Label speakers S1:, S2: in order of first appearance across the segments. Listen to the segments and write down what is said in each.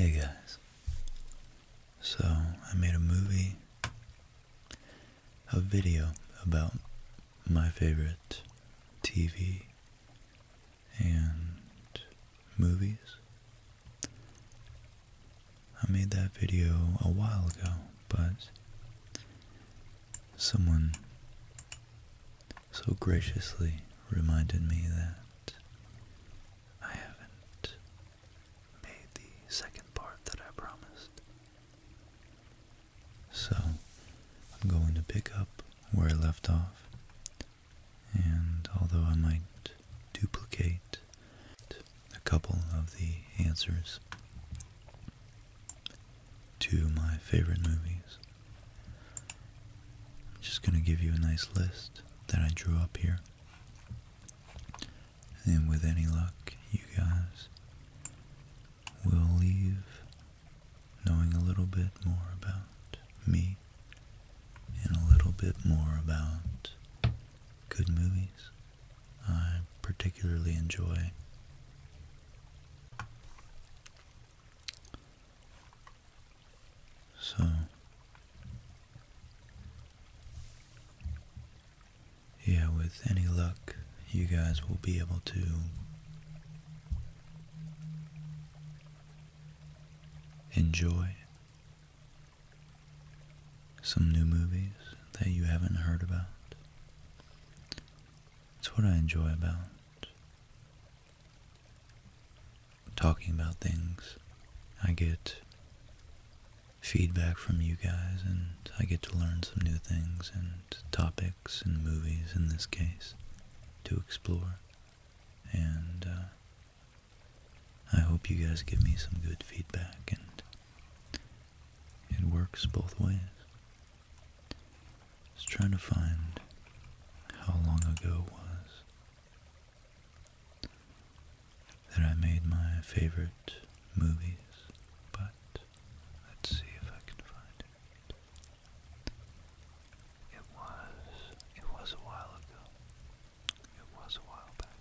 S1: Hey guys, so I made a movie, a video about my favorite TV and movies. I made that video a while ago, but someone so graciously reminded me that I haven't made the second part that I promised. So I'm going to pick up where I left off and although I might duplicate a couple of the answers to my favorite movies, I'm just going to give you a nice list that I drew up here. And with any luck, you guys will leave knowing a little bit more about me and a little bit more about good movies I particularly enjoy. So, yeah, with any luck, you guys will be able to enjoy some new movies that you haven't heard about. It's what I enjoy about talking about things. I get feedback from you guys and I get to learn some new things and topics and movies in this case to explore and uh, I hope you guys give me some good feedback, and it works both ways. Just trying to find how long ago it was that I made my favorite movies, but let's see if I can find it. It was it was a while ago. It was a while back.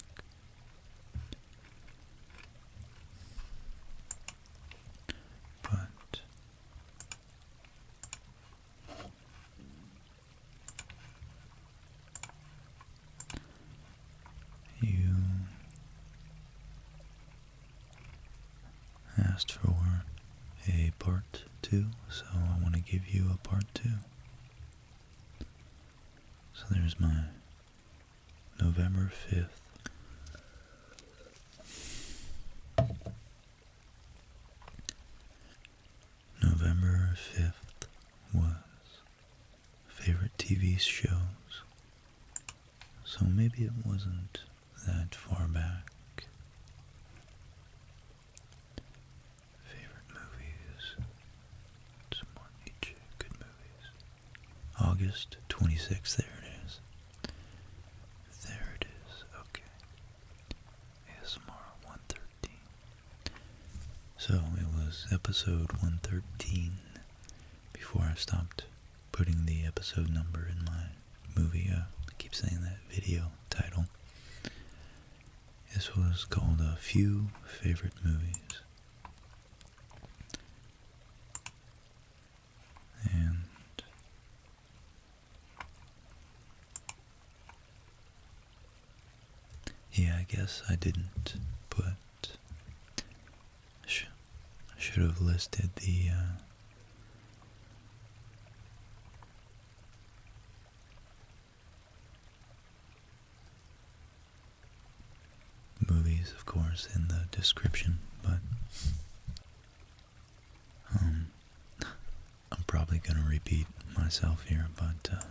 S1: But you asked for a part two, so I want to give you a part two. So there's my November 5th. November 5th was favorite TV shows. So maybe it wasn't that far back. Favorite movies. Some more good movies. August 26th, there it is. There it is, okay. ASMR 113. So it was episode 113 before I stopped putting the episode number in my movie, uh, I keep saying that video title. This was called A uh, Few Favorite Movies. And yeah, I guess I didn't put. Sh I should have listed the uh, Movies, of course, in the description, but um, I'm probably going to repeat myself here, but uh,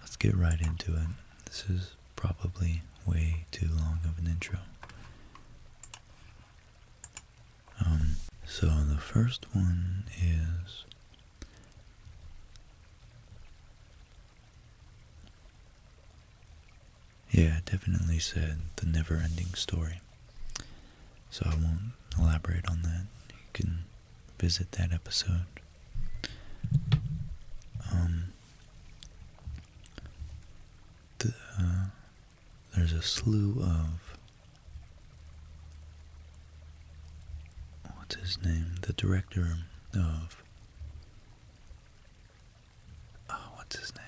S1: let's get right into it. This is probably way too long of an intro. Um, so the first one is yeah, definitely said the never-ending story. So I won't elaborate on that. You can visit that episode. Um, the, uh, there's a slew of what's his name? The director of oh, what's his name?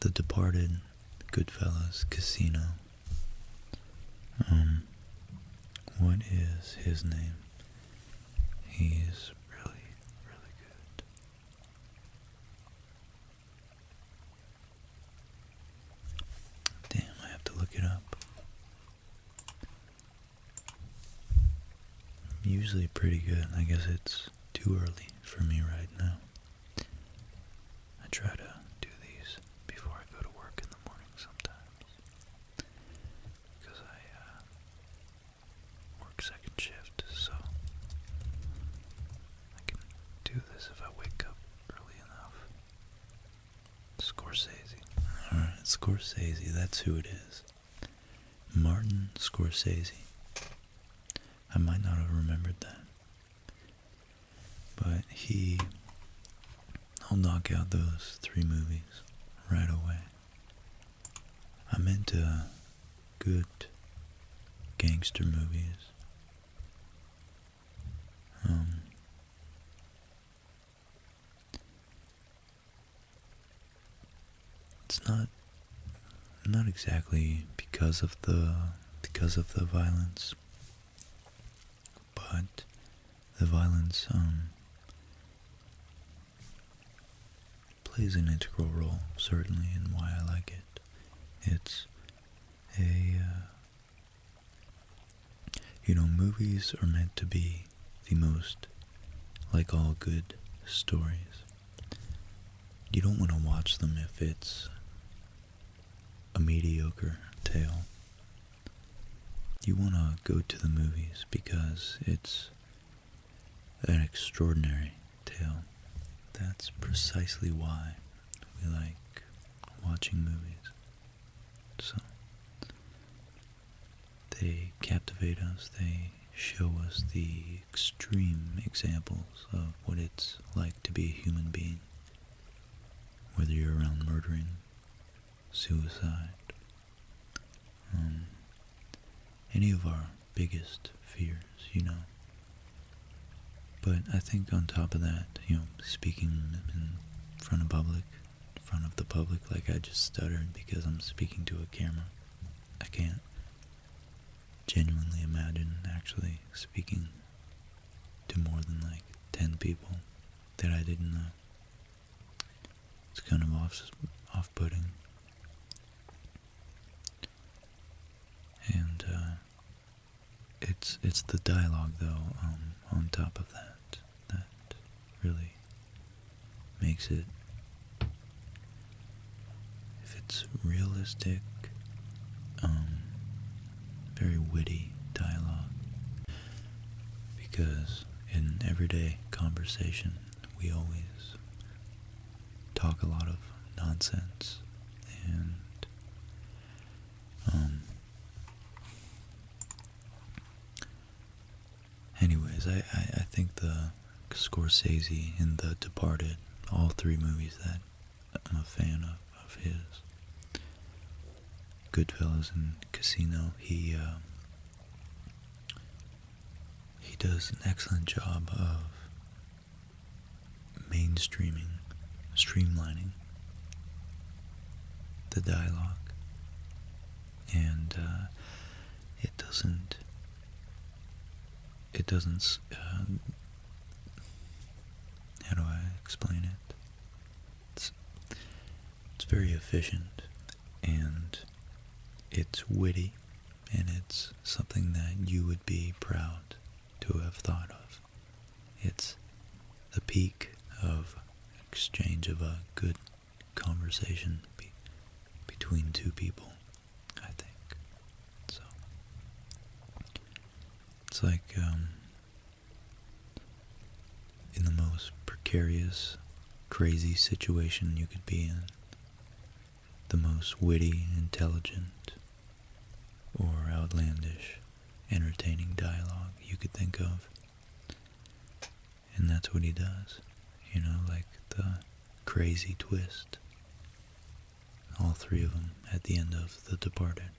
S1: The Departed, Goodfellas, Casino. Um, what is his name? He's really, really good. Damn, I have to look it up. usually pretty good. I guess it's too early for me right now. I try to do these before I go to work in the morning sometimes. Because I, uh, work second shift, so I can do this if I wake up early enough. Scorsese. Alright, Scorsese, that's who it is. Martin Scorsese. I might not have remembered that. But he. I'll knock out those three movies right away. I meant to good gangster movies. Um, it's not not exactly because of the because of the violence, but the violence um, plays an integral role, certainly, in why I like it. It's a, uh, you know, movies are meant to be the most, like all good stories. You don't want to watch them if it's a mediocre tale. You want to go to the movies because it's an extraordinary tale. That's precisely why we like watching movies. So, they captivate us, they show us the extreme examples of what it's like to be a human being. Whether you're around murdering, suicide, um, any of our biggest fears, you know. But I think on top of that, you know, speaking in front of public, in front of the public, like I just stuttered because I'm speaking to a camera. I can't genuinely imagine actually speaking to more than like 10 people that I didn't know. It's kind of off, off-putting. And uh, it's it's the dialogue though um, on top of that that really makes it. If it's realistic, um, very witty dialogue, because in everyday conversation we always talk a lot of nonsense and um anyways I, I, think the Scorsese in The Departed all three movies that I'm a fan of of his Goodfellas and Casino he uh, he does an excellent job of mainstreaming, streamlining the dialogue, and uh, it doesn't. It doesn't. Um, how do I explain it? It's, it's very efficient, and it's witty, and it's something that you would be proud to have thought of. It's the peak of exchange of a good conversation between two people, I think. So it's like um, in the most precarious, crazy situation you could be in, the most witty, intelligent, or outlandish, entertaining dialogue you could think of. And that's what he does, you know, like the crazy twist. All three of them at the end of The Departed.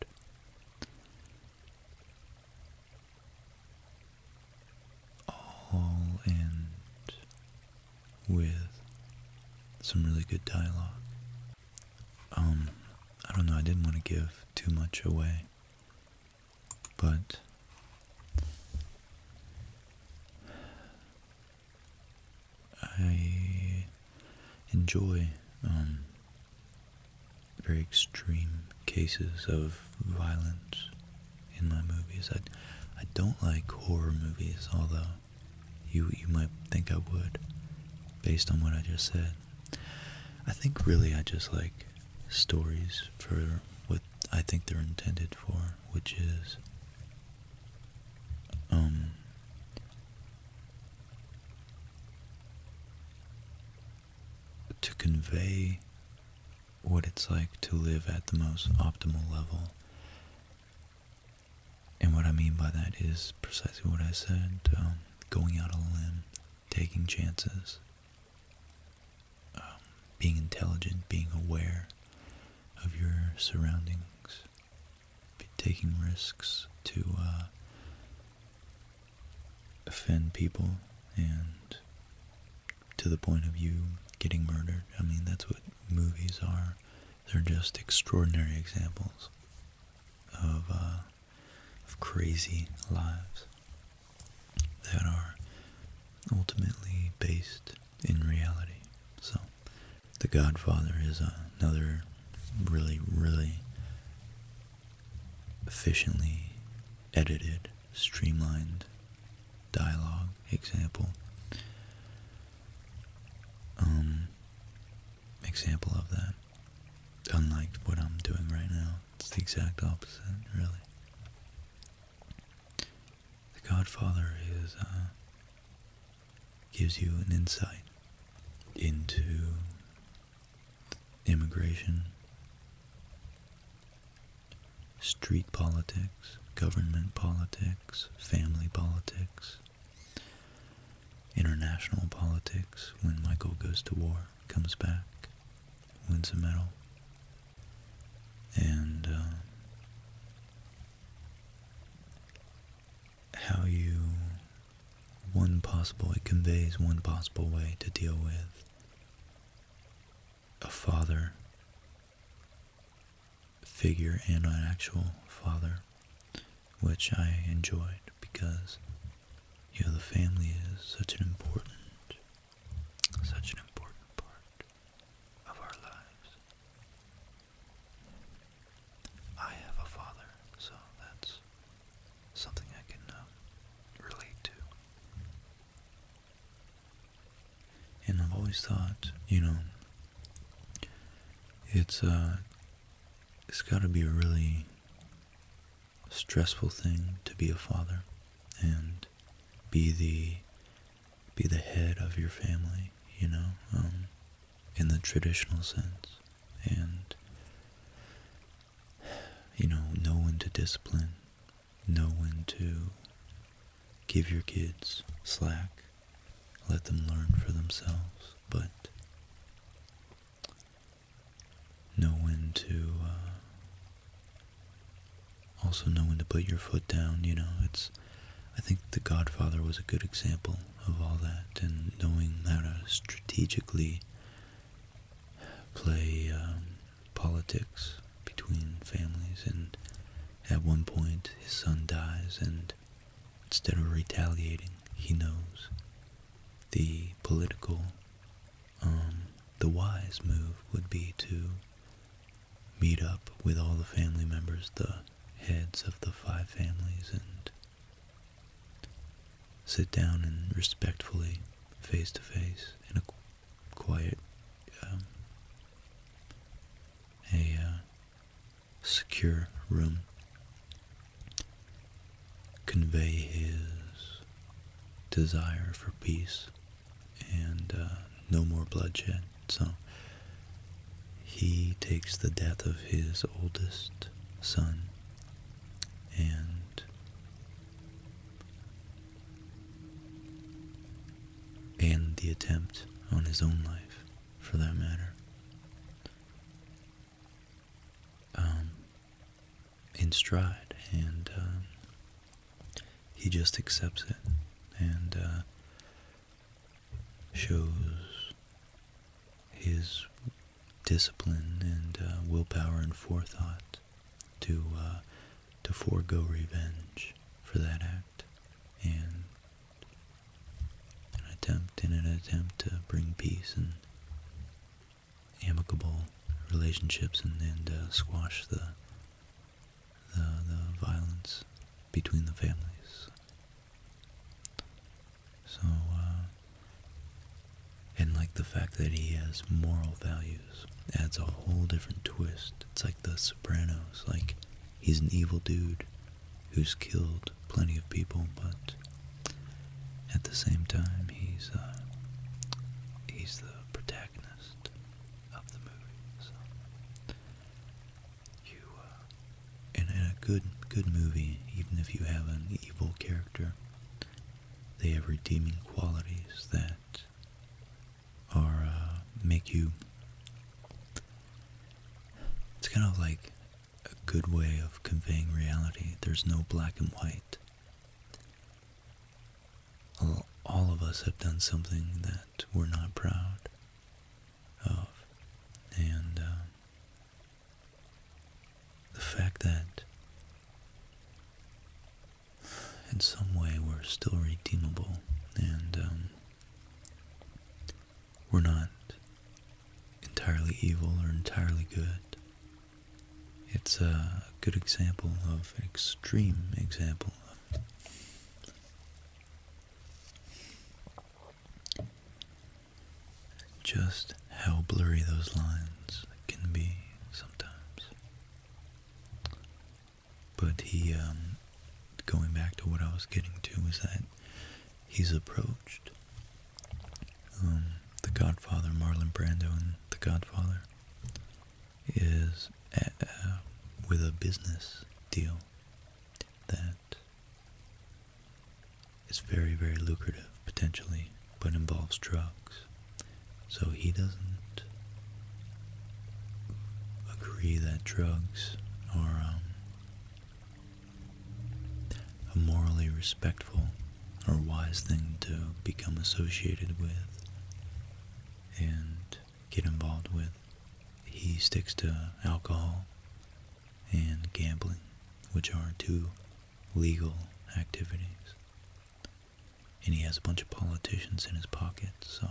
S1: All and with some really good dialogue. Um, I don't know, I didn't want to give too much away, but I enjoy um, very extreme cases of violence in my movies. I, I don't like horror movies, although you you might think I would, based on what I just said. I think really I just like stories for what I think they're intended for, which is um to convey what it's like to live at the most optimal level and what I mean by that is precisely what I said um, going out of line, taking chances, um, being intelligent, being aware of your surroundings, taking risks to uh, offend people and to the point of you getting murdered. I mean, that's what movies are. They're just extraordinary examples of, uh, of crazy lives that are ultimately based in reality. So, The Godfather is another really, really efficiently edited, streamlined dialogue example. Um, example of that. Unlike what I'm doing right now, it's the exact opposite, really. The Godfather is, uh, gives you an insight into immigration street politics, government politics, family politics, international politics, when Michael goes to war, comes back, wins a medal, and uh, how you, one possible, it conveys one possible way to deal with a father figure and an actual father, which I enjoyed because, you know, the family is such an important, such an important part of our lives. I have a father, so that's something I can um, relate to. And I've always thought, you know, it's a uh, it's got to be a really stressful thing to be a father and be the be the head of your family, you know, um, in the traditional sense, and you know, no one to discipline know when to give your kids slack, let them learn for themselves, but know when to uh, also know when to put your foot down. You know, it's I think The Godfather was a good example of all that, and knowing how to strategically play um, politics between families, and at one point his son dies, and instead of retaliating, he knows the political, um, the wise move would be to meet up with all the family members, the heads of the five families, and sit down and respectfully, face to face, in a quiet, um, a uh, secure room, convey his desire for peace and uh, no more bloodshed. So he takes the death of his oldest son and and the attempt on his own life, for that matter. Um, in stride, and um, he just accepts it and uh, shows his discipline and uh, willpower and forethought to uh, to forego revenge for that act and an attempt in an attempt to bring peace and amicable relationships and, and uh, squash the, the the violence between the families. So, uh, and like the fact that he has moral values adds a whole different twist. It's like The Sopranos. Like, he's an evil dude who's killed plenty of people, but at the same time, he's uh, he's the protagonist of the movie. So you, uh, in a good good movie, even if you have an evil character, they have redeeming qualities that or uh, make you. It's kind of like a good way of conveying reality. There's no black and white. All of us have done something that we're not proud of, and uh, the fact that in some way we're still redeemable and um, we're not entirely evil or entirely good. It's a good example of an extreme example of just how blurry those lines can be sometimes. But he, um, going back to what I was getting to, is that he's approached um, the Godfather, Marlon Brando, and the Godfather is uh, with a business deal that is very, very lucrative potentially, but involves drugs. So he doesn't agree that drugs are um, a morally respectful or wise thing to become associated with and get involved with. He sticks to alcohol and gambling, which are two legal activities and he has a bunch of politicians in his pocket, so.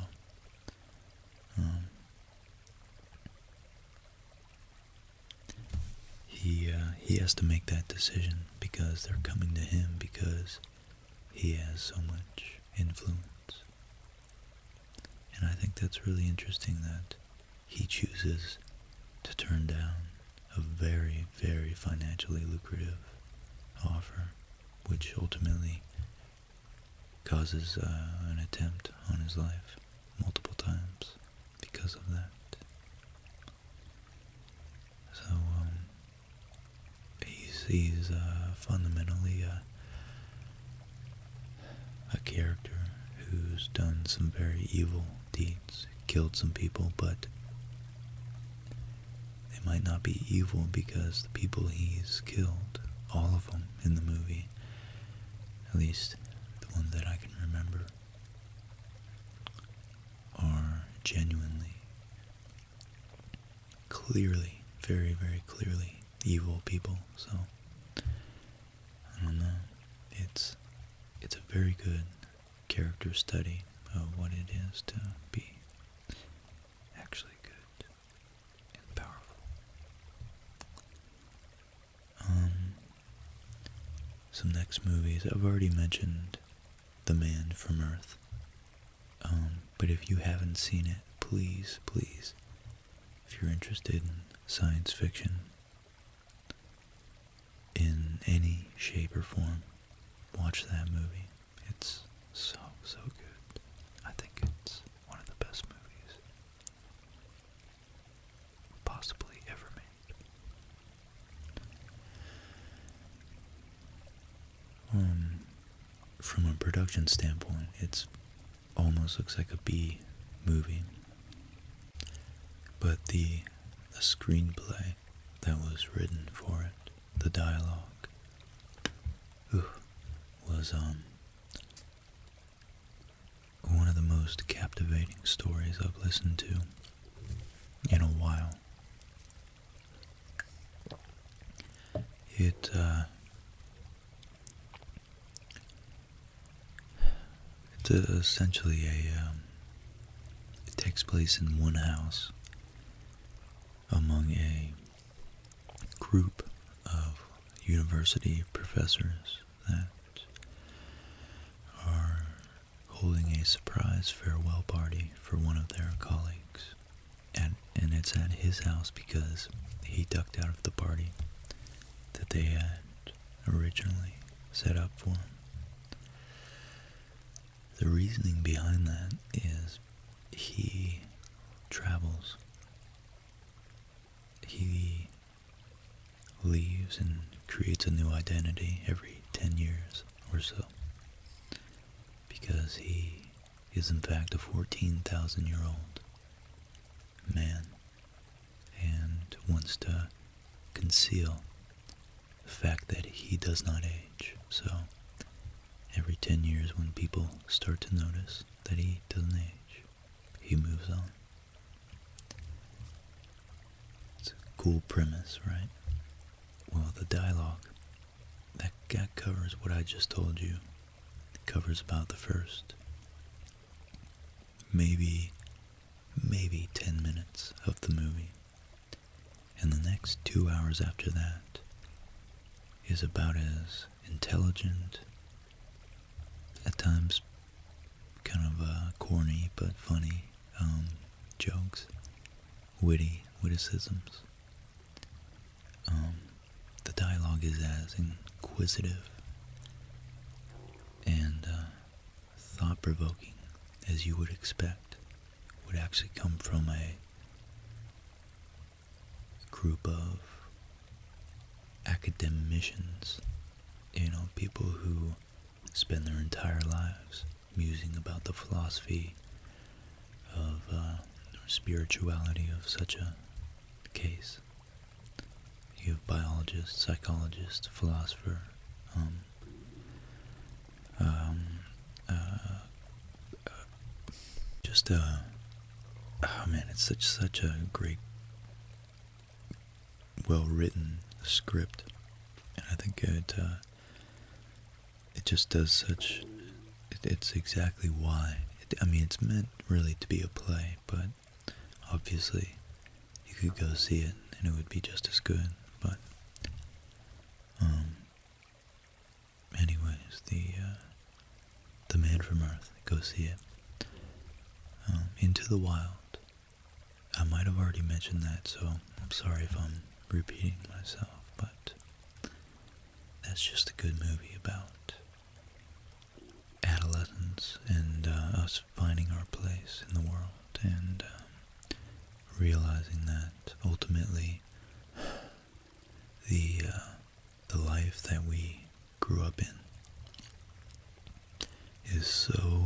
S1: Um, he uh, he has to make that decision because they're coming to him because he has so much influence. And I think that's really interesting that he chooses to turn down a very, very financially lucrative offer which ultimately causes uh, an attempt on his life multiple times because of that. So um, he's uh, fundamentally uh, a character who's done some very evil deeds, killed some people, but they might not be evil because the people he's killed, all of them in the movie, at least the one that I can remember, are genuinely, clearly, very, very clearly evil people. So, I don't know. It's, it's a very good character study of what it is to be actually good and powerful. Um, some next movies. I've already mentioned The Man from Earth. Um, but if you haven't seen it, please, please, if you're interested in science fiction in any shape or form, watch that movie. It's so, so good. I think it's one of the best movies possibly ever made. Um, from a production standpoint, it's almost looks like a bee movie. But the screenplay that was written for it the dialogue was um, one of the most captivating stories I've listened to in a while. It uh, it's essentially a um, it takes place in one house among a group of university professors that are holding a surprise farewell party for one of their colleagues. And, and it's at his house because he ducked out of the party that they had originally set up for him. The reasoning behind that is he travels. He leaves and creates a new identity every 10 years or so because he is in fact a 14,000 year old man and wants to conceal the fact that he does not age. So every 10 years when people start to notice that he doesn't age, he moves on. It's a cool premise, right? Well, the dialogue that, that covers what I just told you. covers about the first maybe maybe 10 minutes of the movie and the next two hours after that is about as intelligent, at times kind of uh, corny but funny um, jokes, witty witticisms. Um, the dialogue is as inquisitive and uh, thought provoking as you would expect would actually come from a group of academics, you know, people who spend their entire lives musing about the philosophy of uh, spirituality of such a case. You have biologists, psychologists, philosopher, um, um, uh, uh, just uh, oh, man, it's such such a great, well-written script, and I think it uh, it just does such. it's exactly why. I mean, it's meant really to be a play, but obviously you could go see it and it would be just as good. But um, anyways, the uh, the man from Earth, go see it. Um, Into the Wild. I might have already mentioned that, so I'm sorry if I'm repeating myself, but that's just a good movie about adolescence and uh, us finding our place in the world and um, realizing that ultimately the uh, the life that we grew up in is so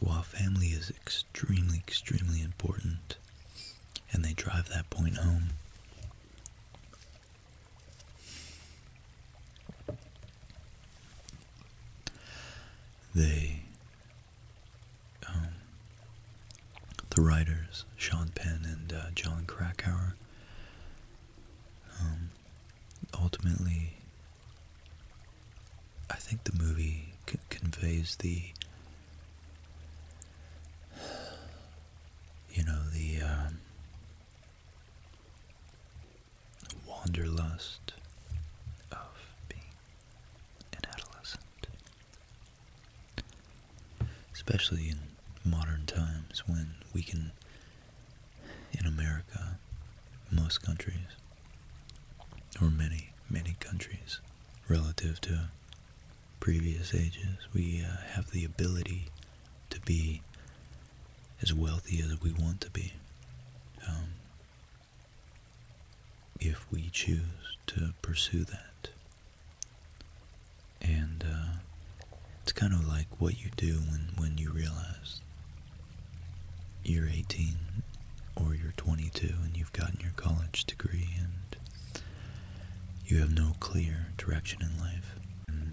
S1: while family is extremely extremely important and they drive that point home they um, the writers Sean Penn and uh, John Krakauer um, ultimately I think the movie conveys the you know the um, wanderlust of being and adolescent. Especially in modern times when we can, in America, most countries, or many, many countries, relative to previous ages, we uh, have the ability to be as wealthy as we want to be. Um, if we choose to pursue that. And uh, it's kind of like what you do when, when you realize you're 18 or you're 22 and you've gotten your college degree and you have no clear direction in life. And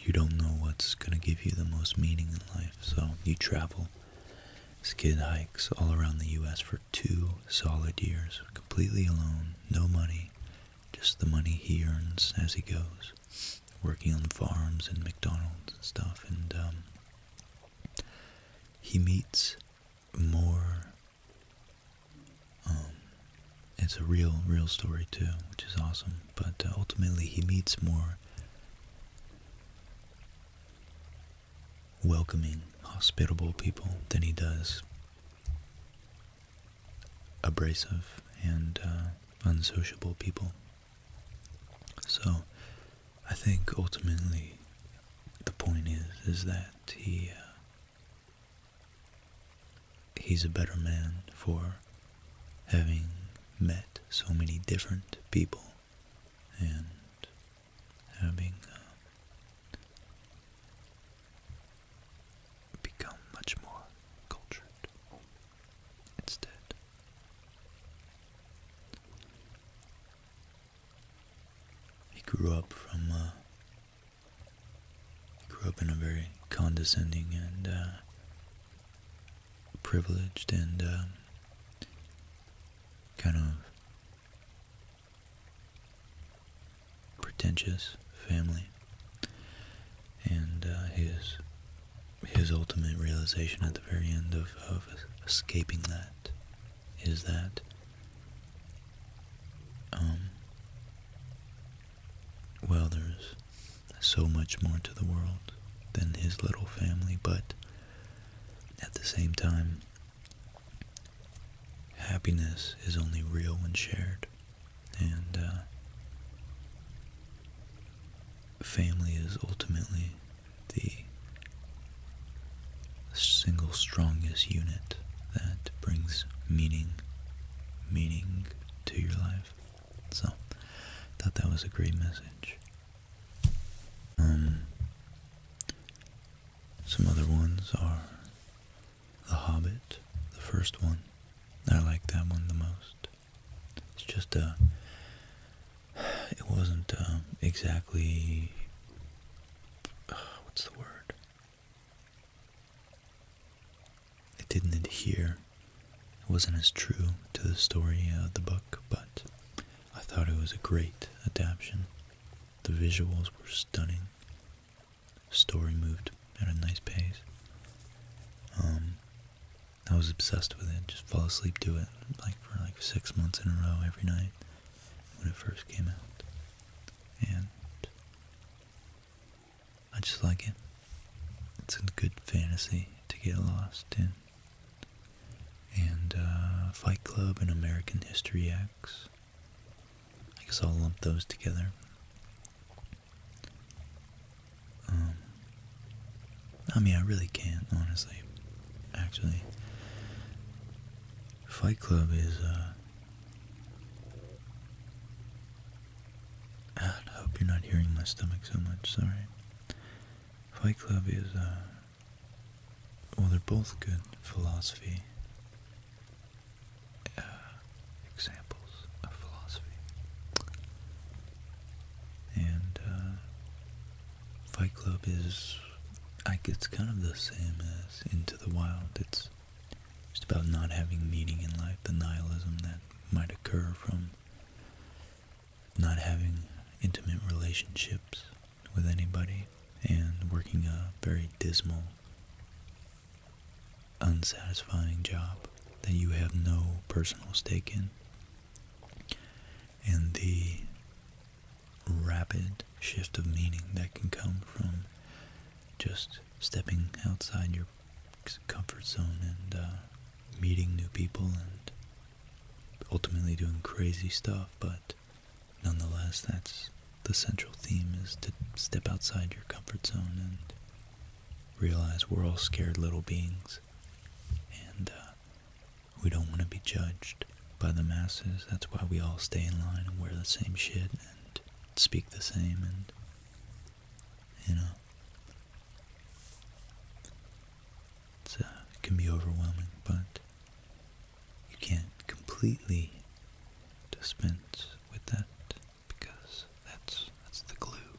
S1: you don't know what's going to give you the most meaning in life, so you travel skid hikes all around the U.S. for two solid years, completely alone, no money, just the money he earns as he goes, working on farms and McDonald's and stuff. And um, he meets more. Um, it's a real, real story too, which is awesome. But uh, ultimately, he meets more welcoming, hospitable people than he does abrasive and uh, unsociable people. So I think ultimately the point is is that he uh, he's a better man for having met so many different people and having uh, become much more cultured instead. He grew up from, uh, grew up in a very condescending and uh, privileged and uh, kind of pretentious family and uh, his his ultimate realization at the very end of, of escaping that is that um, well there's so much more to the world than his little family but at the same time, happiness is only real when shared, and uh, family is ultimately the single strongest unit that brings meaning, meaning to your life. So, I thought that was a great message. Um, some other ones are The Hobbit, the first one. I like that one the most. It's just a. Uh, it wasn't uh, exactly. Uh, what's the word? It didn't adhere wasn't as true to the story of the book, but I thought it was a great adaptation. The visuals were stunning. Story moved at a nice pace. Um, I was obsessed with it. Just fall asleep to it, like for like six months in a row, every night when it first came out, and I just like it. It's a good fantasy to get lost in and uh, Fight Club and American History X. I guess I'll lump those together. Um, I mean, I really can't, honestly. Actually, Fight Club is, uh, I hope you're not hearing my stomach so much, sorry. Fight Club is, uh, well, they're both good philosophy uh, examples of philosophy. And uh, Fight Club is, I it's kind of the same as Into the Wild. It's just about not having meaning in life, the nihilism that might occur from not having intimate relationships with anybody and working a very dismal, unsatisfying job that you have no personal stake in. And the rapid shift of meaning that can come from just stepping outside your comfort zone and uh, meeting new people and ultimately doing crazy stuff, but nonetheless, that's the central theme is to step outside your comfort zone and realize we're all scared little beings and uh, we don't want to be judged by the masses. That's why we all stay in line and wear the same shit and speak the same and, you know, it uh, can be overwhelming, but you can't completely dispense with that because that's that's the glue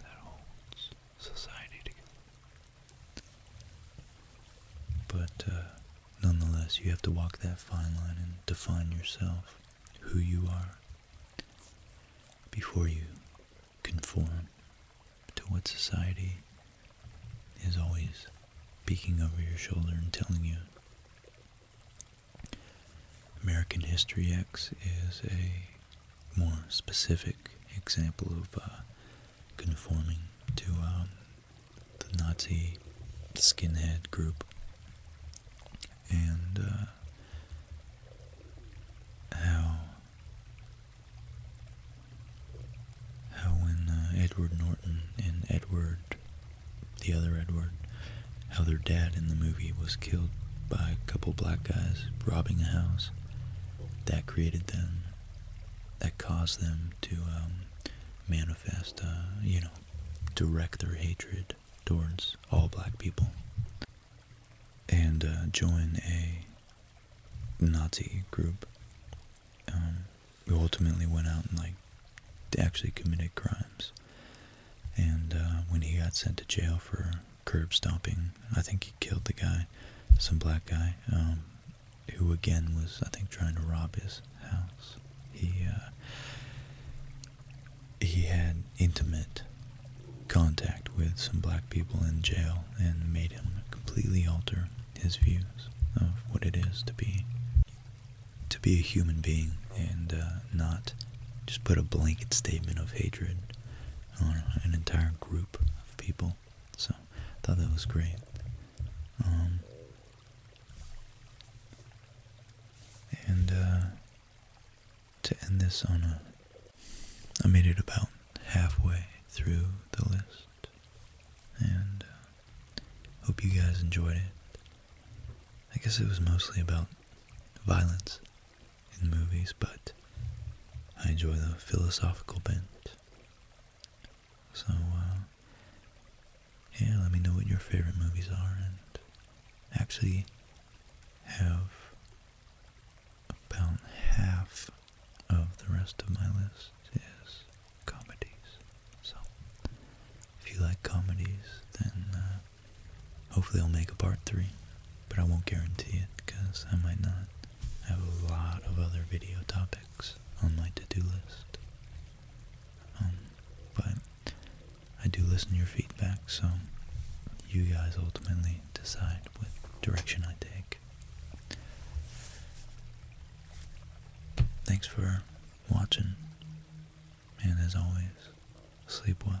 S1: that holds society together. But uh, nonetheless, you have to walk that fine line and define yourself, who you are, before you conform to what society is always peeking over your shoulder and telling you. American History X is a more specific example of uh, conforming to um, the Nazi skinhead group. And uh, how how when uh, Edward Norton and Edward, the other Edward, how their dad in the movie was killed by a couple black guys robbing a house. That created them, that caused them to um, manifest, uh, you know, direct their hatred towards all black people and uh, join a Nazi group. Um, who ultimately went out and like actually committed crimes. And uh, when he got sent to jail for curb stomping, I think he killed the guy, some black guy, um, who again was I think trying to rob his house. He uh, he had intimate contact with some black people in jail and made him completely alter his views of what it is to be to be a human being and uh, not just put a blanket statement of hatred on an entire group of people. So I thought that was great. Um, and uh, to end this on a. I made it about halfway through the list, and uh, hope you guys enjoyed it. I guess it was mostly about violence in movies, but I enjoy the philosophical bent. So, uh, yeah, let me know what your favorite movies are and actually have about half of the rest of my list is comedies. So, if you like comedies, then uh, hopefully I'll make a part three. But I won't guarantee it because I might not have a lot of other video topics on my to-do list. Um, but I do listen to your feedback, so you guys ultimately decide decide direction I take. Thanks for watching, and as always, sleep well.